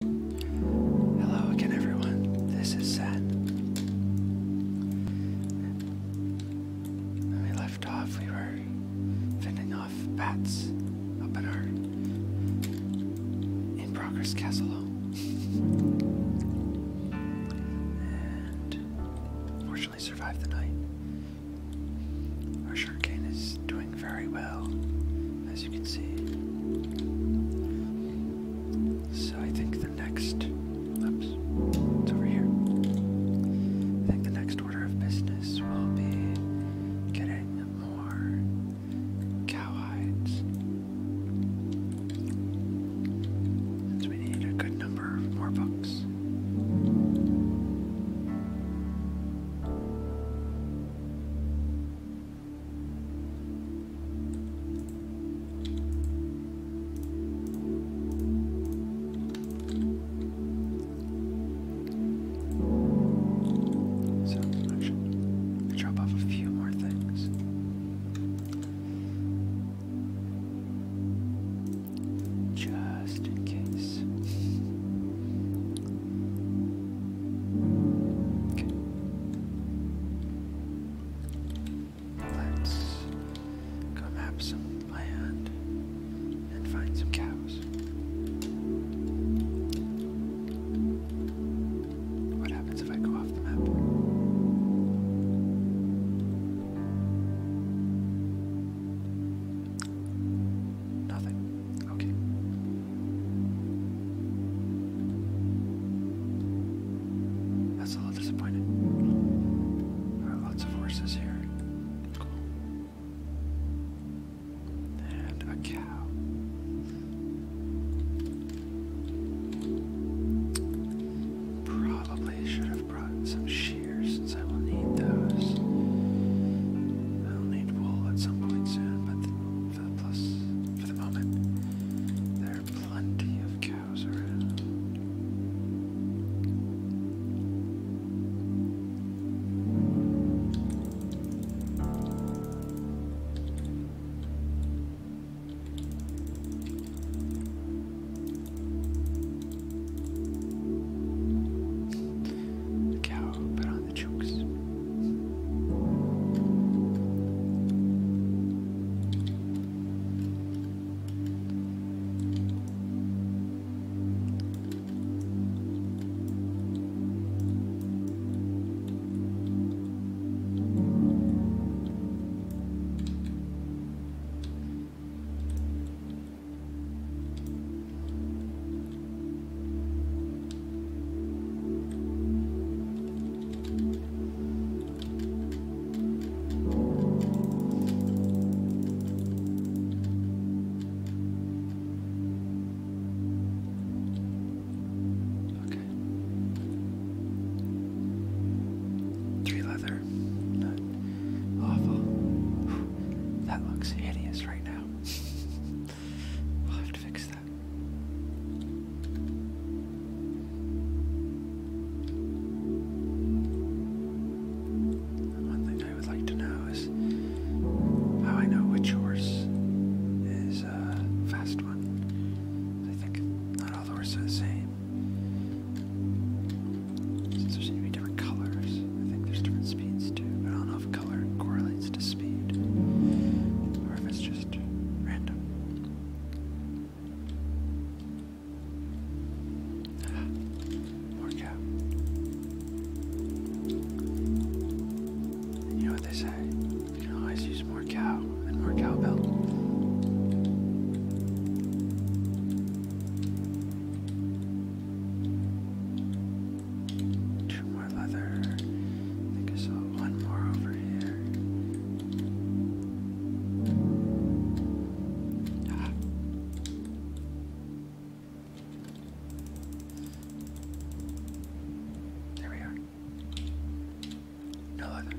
Hello again, everyone. This is Seth. we left off, we were fending off bats up in our in progress castle. and fortunately survived the night. Our shark cane is doing very well, as you can see. So I think the next, it's over here. I think the next order of business will be getting more cow hides. Since we need a good number of more books. Sound I drop off a few more things. Just in case. Let's go map some land and find some cows. What happens if I go off the map? Nothing. Okay. That's a little disappointing. There are lots of horses here. And a cow. Probably should have brought some shears since I will need those. I'll need wool at some point soon, but for the plus for the moment. There are plenty of cows around. cow but on the jokes. Okay. Three leather. Not awful. That looks hideous right now. I'll have to fix that. One thing I would like to know is how I know which horse is a uh, fast one. I think not all the horses are the same. Since there seem to be different colors, I think there's different speeds too, but I don't know if color correlates to speed or just random. Ah, more cat. You know what they say? always use more cow and more cowbell leather. I think I saw one more over here. Ah. There we are. No leather.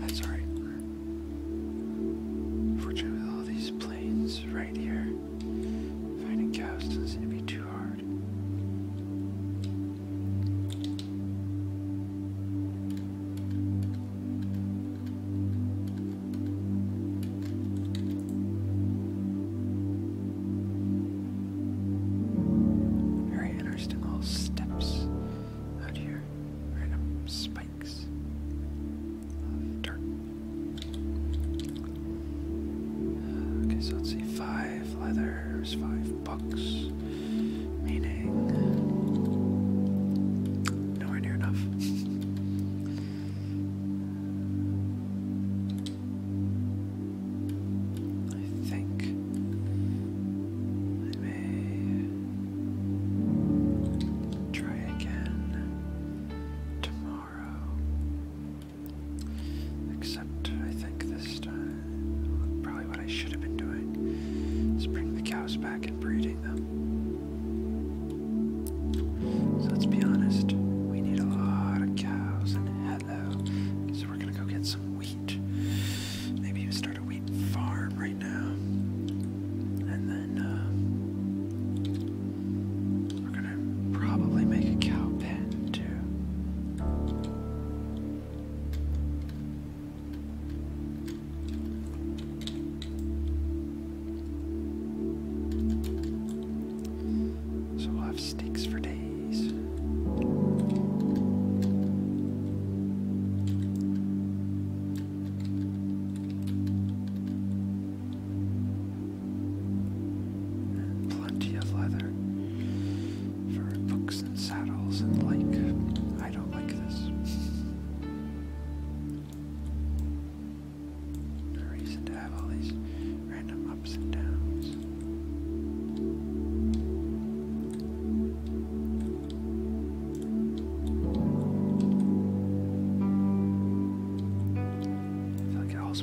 That's alright. Fortunately, all these planes right here, Finding calves doesn't seem to be too hard. Very interesting little steps out here. Random spikes of dirt. Uh, okay, so let's see. Five leathers, five bucks. Meaning nowhere near enough. I think I may try again tomorrow. Except I think this time, probably what I should have been doing is bring the cows back and breeding them. So let's be honest, we need a lot of cows and hello. So we're gonna go get some wheat. Maybe even start a wheat farm right now. And then uh, we're gonna probably make a cow pen too. So we have steaks for days. Plenty of leather for books and saddles and like. I don't like this. No reason to have all these random ups and downs. I feel like it holds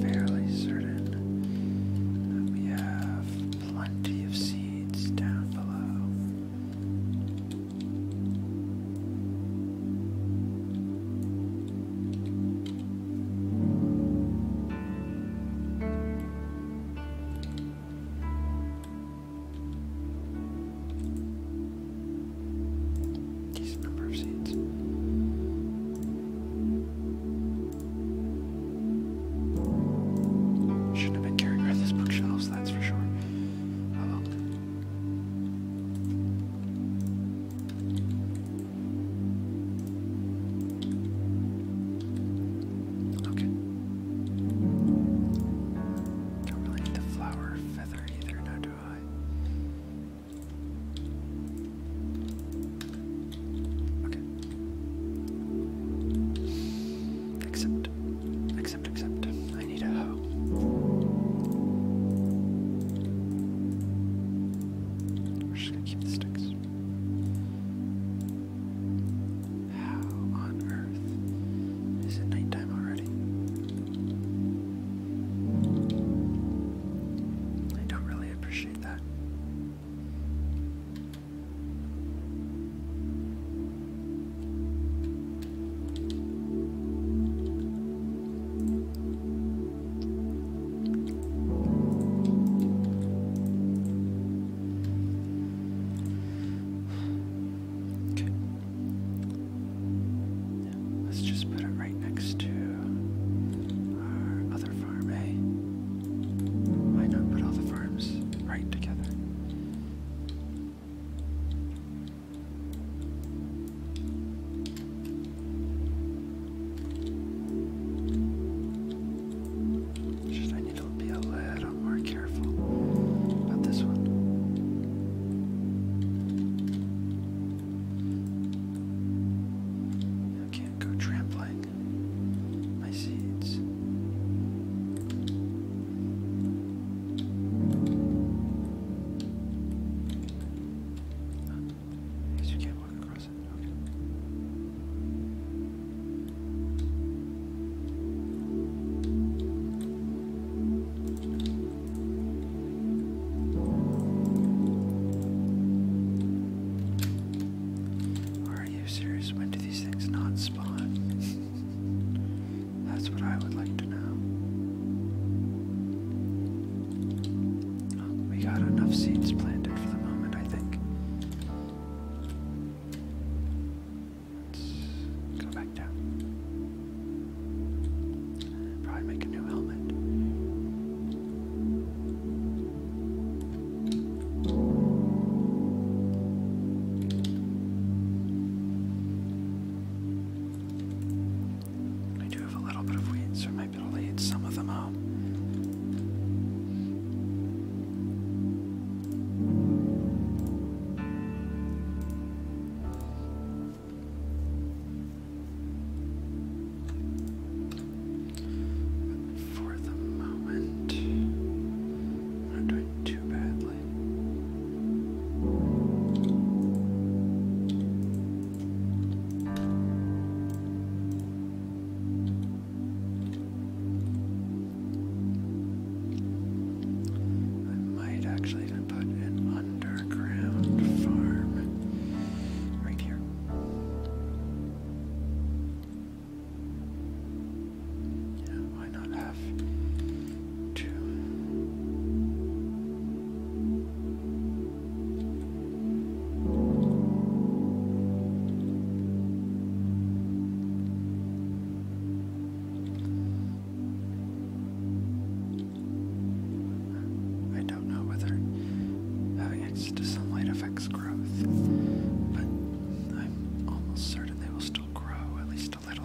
fairly certain that we have plenty of seeds down below decent number of seeds. Shouldn't have been carrying around these bookshelves, that's for sure. Oh okay. Don't really need the flower feather either, now do I? Okay. Accept. Accept, accept. I need a hoe. We're just gonna keep the sticks. How on earth is it nighttime already? I don't really I appreciate that. Okay. Let's just put it right next to our other farm, eh? Why not put all the farms right together? Just I need to be a little more careful about this one. I can't go trampling my seeds. I you can't walk across it. Are you serious? When do these things not spawn? That's what I would like to know. Oh, we got enough seeds planted for the moment, I think. Let's go back down. I do have a little bit of weeds, so I might be able to eat some of them out. Uh, but for the moment, not doing too badly. I might actually even put an underground farm right here. Yeah, why not have two? I don't know whether having uh, access to sunlight affects growth, but I'm almost certain they will still grow at least a little.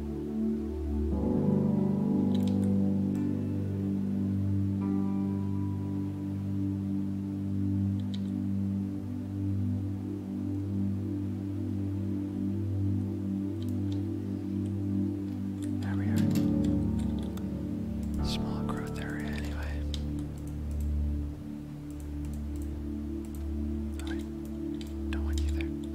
There we are. Small growth area, anyway. All right. Don't want you there.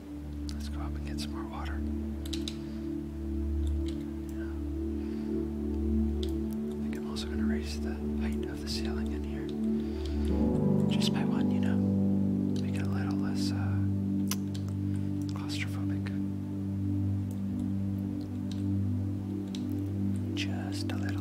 Let's go up and get some more water. I think I'm also going to raise the height of the ceiling in here just by one, you know, make it a little less uh, claustrophobic. Just a little.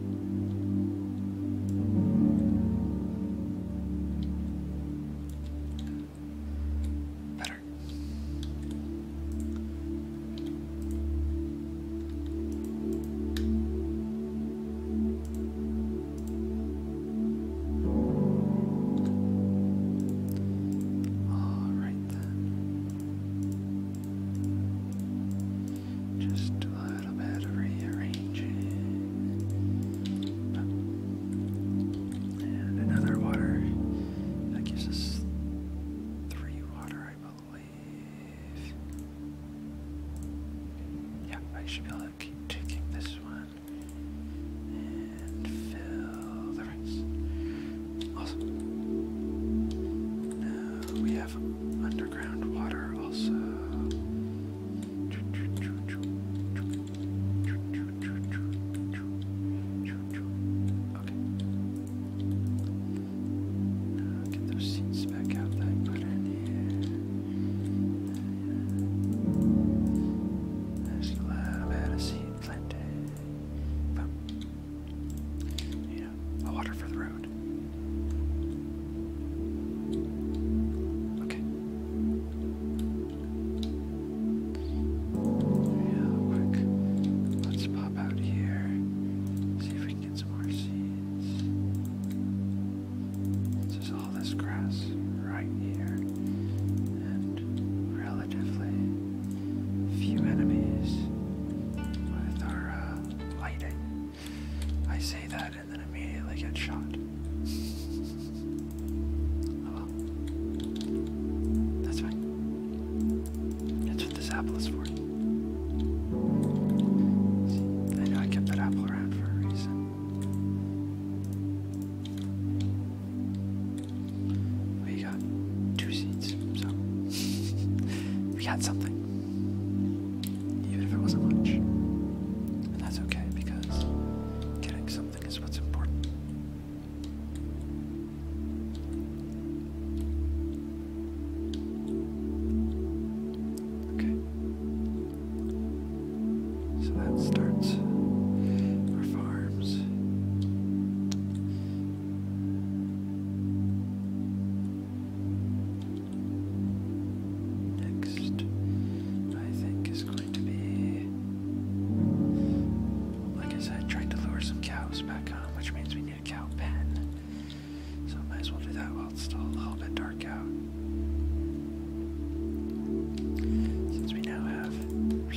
Better. All right then. Just a little bit of rearranging. And another water. That gives us three water, I believe. Yeah, I should be able to keep taking this one and fill the rest. Awesome. Now we have underground water also. Okay. Now get those seats back out that I put in here. There's a lot of out yeah, water for the road. Okay. Yeah, quick. Let's pop out here. See if we can get some more seeds. This is all this grass right here. And relatively few enemies with our uh, lighting. I say that and then immediately get shot. Oh That's fine. That's what this apple is for. I know I kept that apple around for a reason. We got two seeds, so we got something even if it wasn't much. And that's okay because getting something is what's important. Okay. So that starts our farms. Next, I think, is going to be. Like I said, trying to lure some cows back home, which means we need a cow pen. So, might as well do that while it's still a little bit dark out. Since we now have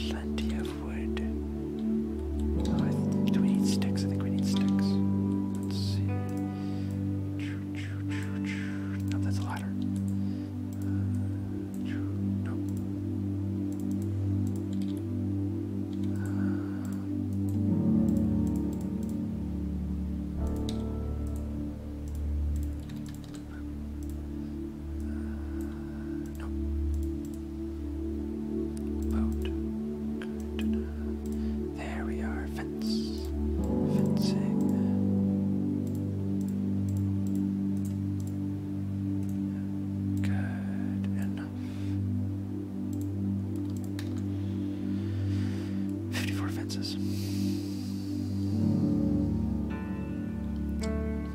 plenty of wood, uh, do we need sticks? I think we need sticks. Let's see. No, that's a ladder. Uh, no. Uh, Boat. There we are. Fence. Fencing. Good enough. Fifty-four fences.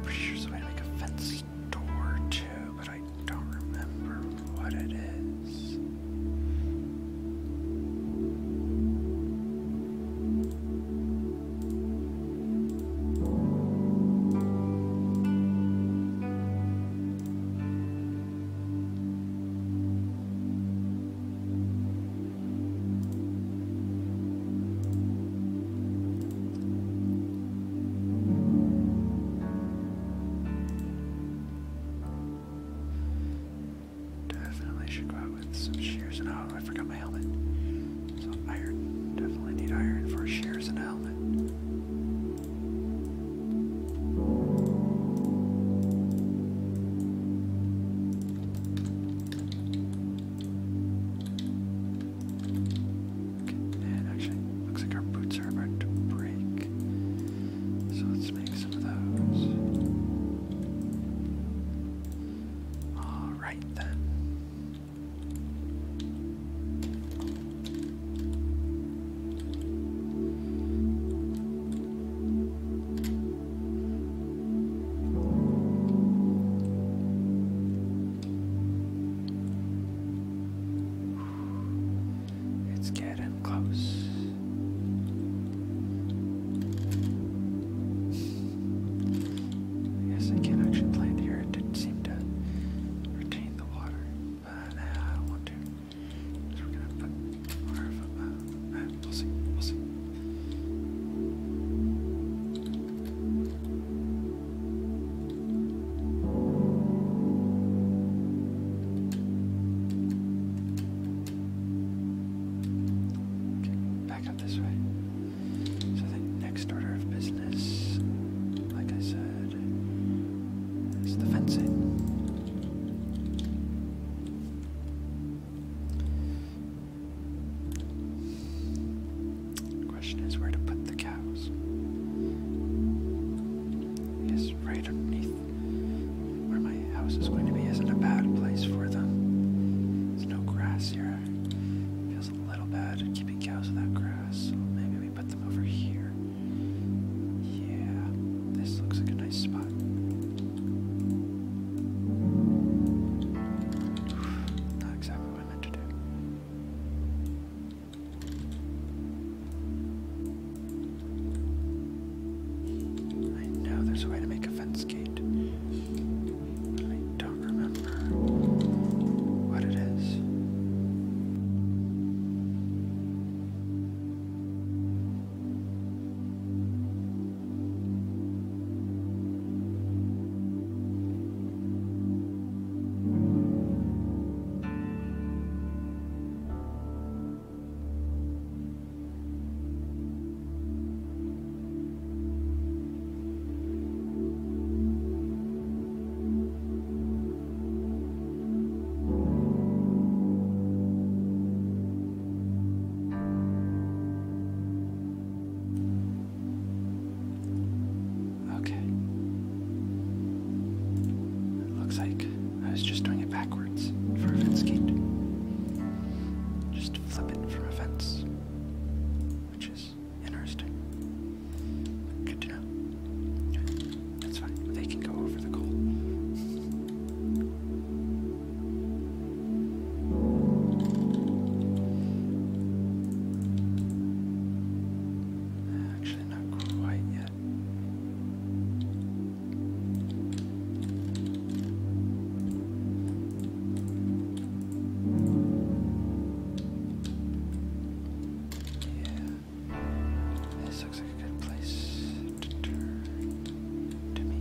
Pretty sure somebody make a fence door too, I don't remember what it is. Definitely should go out with some shears and oh, I forgot my helmet. So iron, definitely need iron for shears and a helmet. Okay, actually, looks like our boots are about to break. So let's make some of those. Alright then. It's getting close. Yes, I can actually plant here. It didn't seem to retain the water. But uh, I want to. we're gonna put our foot uh, uh Back up this way. So next order of business, like I said, is the fencing. question is where to put the cows. Yes, right underneath where my house is going to be isn't a bad place for them. There's no grass here. feels a little bad keeping cows without grass. maybe we put them over here. Yeah, this looks like a nice spot. Not exactly what I meant to do. I know there's a way to make a fence gate. I don't remember what it is. Okay. It looks like I was just doing it backwards for a fence Just flip it from a which is interesting. Good to know. That's fine. They can go over the goal. Actually, not that. Yeah, this looks like a good place to turn to me.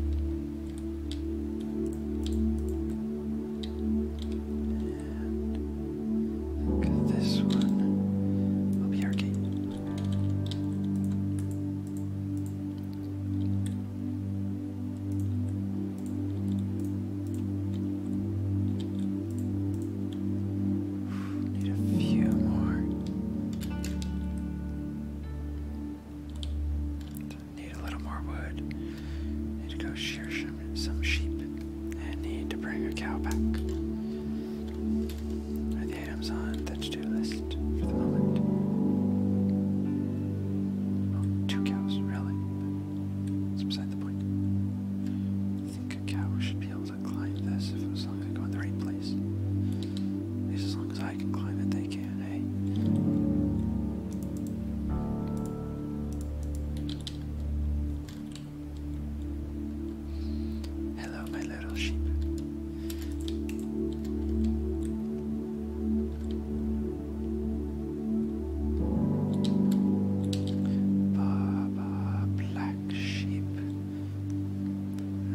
this one. Will be our gate. Need Need a more. little wood. to go shear some sheep and need to bring a cow back are the items on the to-do list for the moment. Oh, two cows, really? It's beside the point. I think a cow should be able to climb this if as long as go in the right place. as long as I can climb it, they can, hey? Eh? Hello, my little sheep. Baba, black sheep,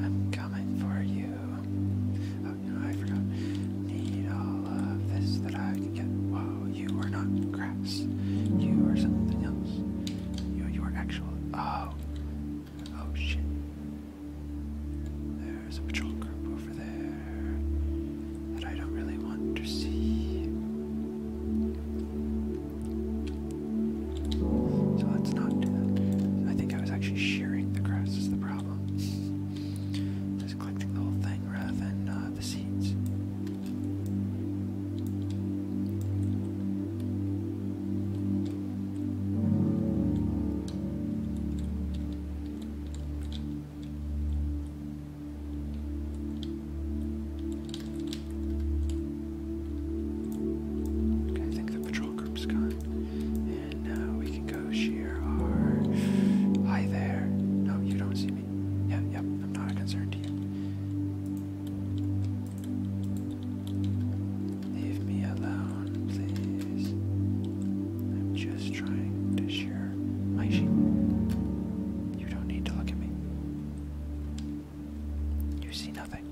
I'm coming for you. Oh, no, I forgot. Need all of this that I can get. Whoa, you are not grass. You are something else. you are actual. Oh, Oh shit. There's a patrol group over there that I don't really want to see. So let's not I think I was actually shearing the grass is the problem. Just collecting the whole thing rather than uh, the seeds. I think the patrol group's gone. And now we can go shear our. Hi there. No, you don't see me. Yeah, yep, I'm not a concern to you. Leave me alone, please. I'm just trying to share my You don't need to look at me. You see nothing.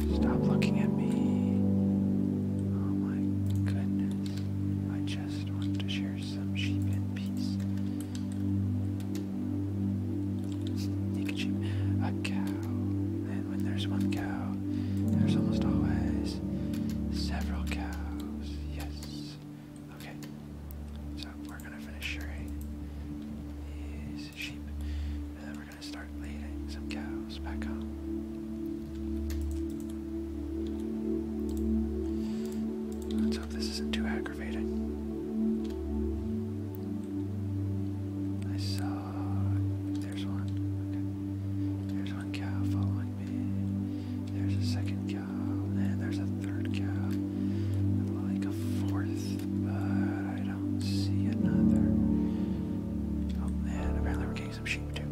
Yes. Okay. Stop looking at me. Oh my goodness. I just want to share some sheep in peace. Take a sheep, a cow, and when there's one cow, there's almost always several cows. Yes. Okay. So we're gonna finish shearing these sheep, and then we're gonna start leading some cows. Let's hope this isn't too aggravating. I saw there's one. There's one cow following me. There's a second cow, and there's a third cow. Like a fourth, but I don't see another. Oh man, apparently we're getting some sheep too.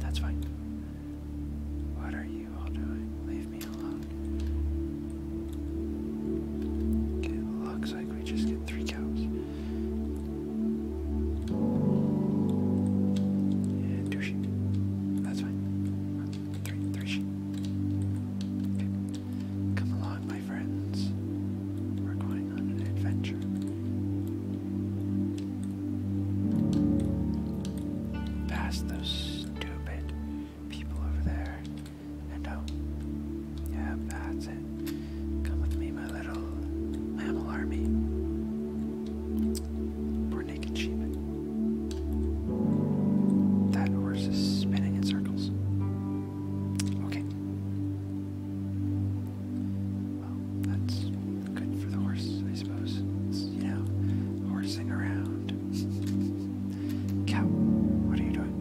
That's fine. What are you all doing? Leave me alone. looks like we just get three cows. And two That's fine. Three, three sheep. Come along, my friends. We're going on an adventure. Past those stupid people over there. And oh, yeah, that's it. Come with me, my little mammal army. Poor naked sheep. That horse is spinning in circles. Okay. Well, that's good for the horse, I suppose. It's, you know, horsing around. Cow, what are you doing?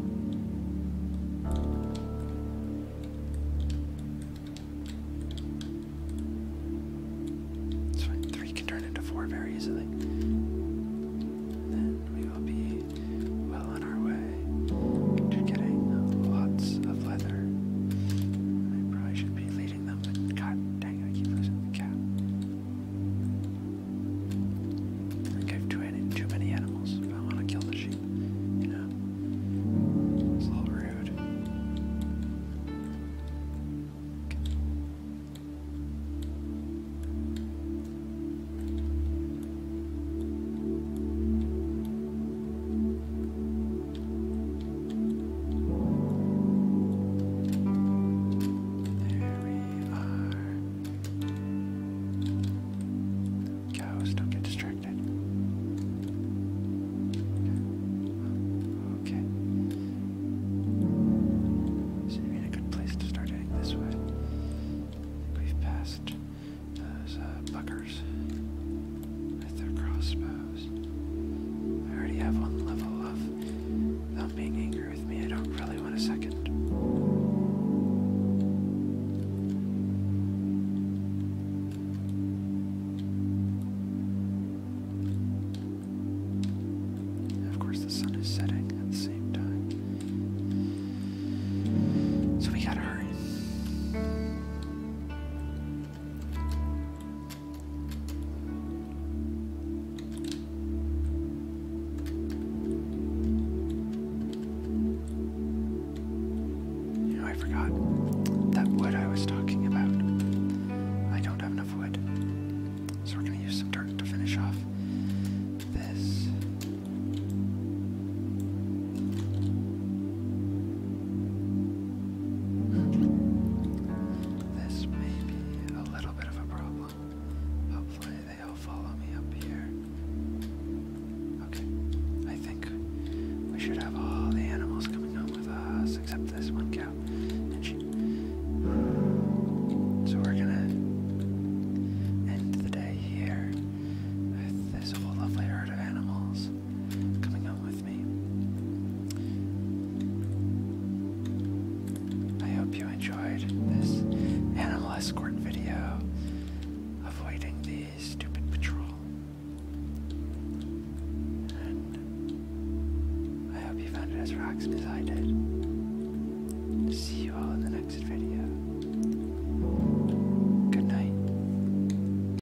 Three can turn into four very easily. then we will be well on our way to getting lots of. I probably should be leading them, but god dang it, I keep losing the cat. I think I've too many animals if I want to kill the sheep, you know? It's a little rude. There we don't get distracted. Okay. Seems so a good place to start heading this way. I think we've passed those uh, uh with their crossbows. I already have one level of them being angry with me. I don't really want a second. Of course, the sun is setting at the same time. So we gotta hurry. You know, I forgot that wood I was talking about. I don't have enough wood. So we're going to use some dirt to finish off this. This may be a little bit of a problem. Hopefully, they all follow me up here. Okay, I think we should have all the animals coming home with us except this one cow. So we're gonna end the day here with this whole lovely herd of animals coming out with me. I hope you enjoyed this animal escort video avoiding the stupid patrol. I hope you found it as relaxing as I did. See you all in the next video. Good night.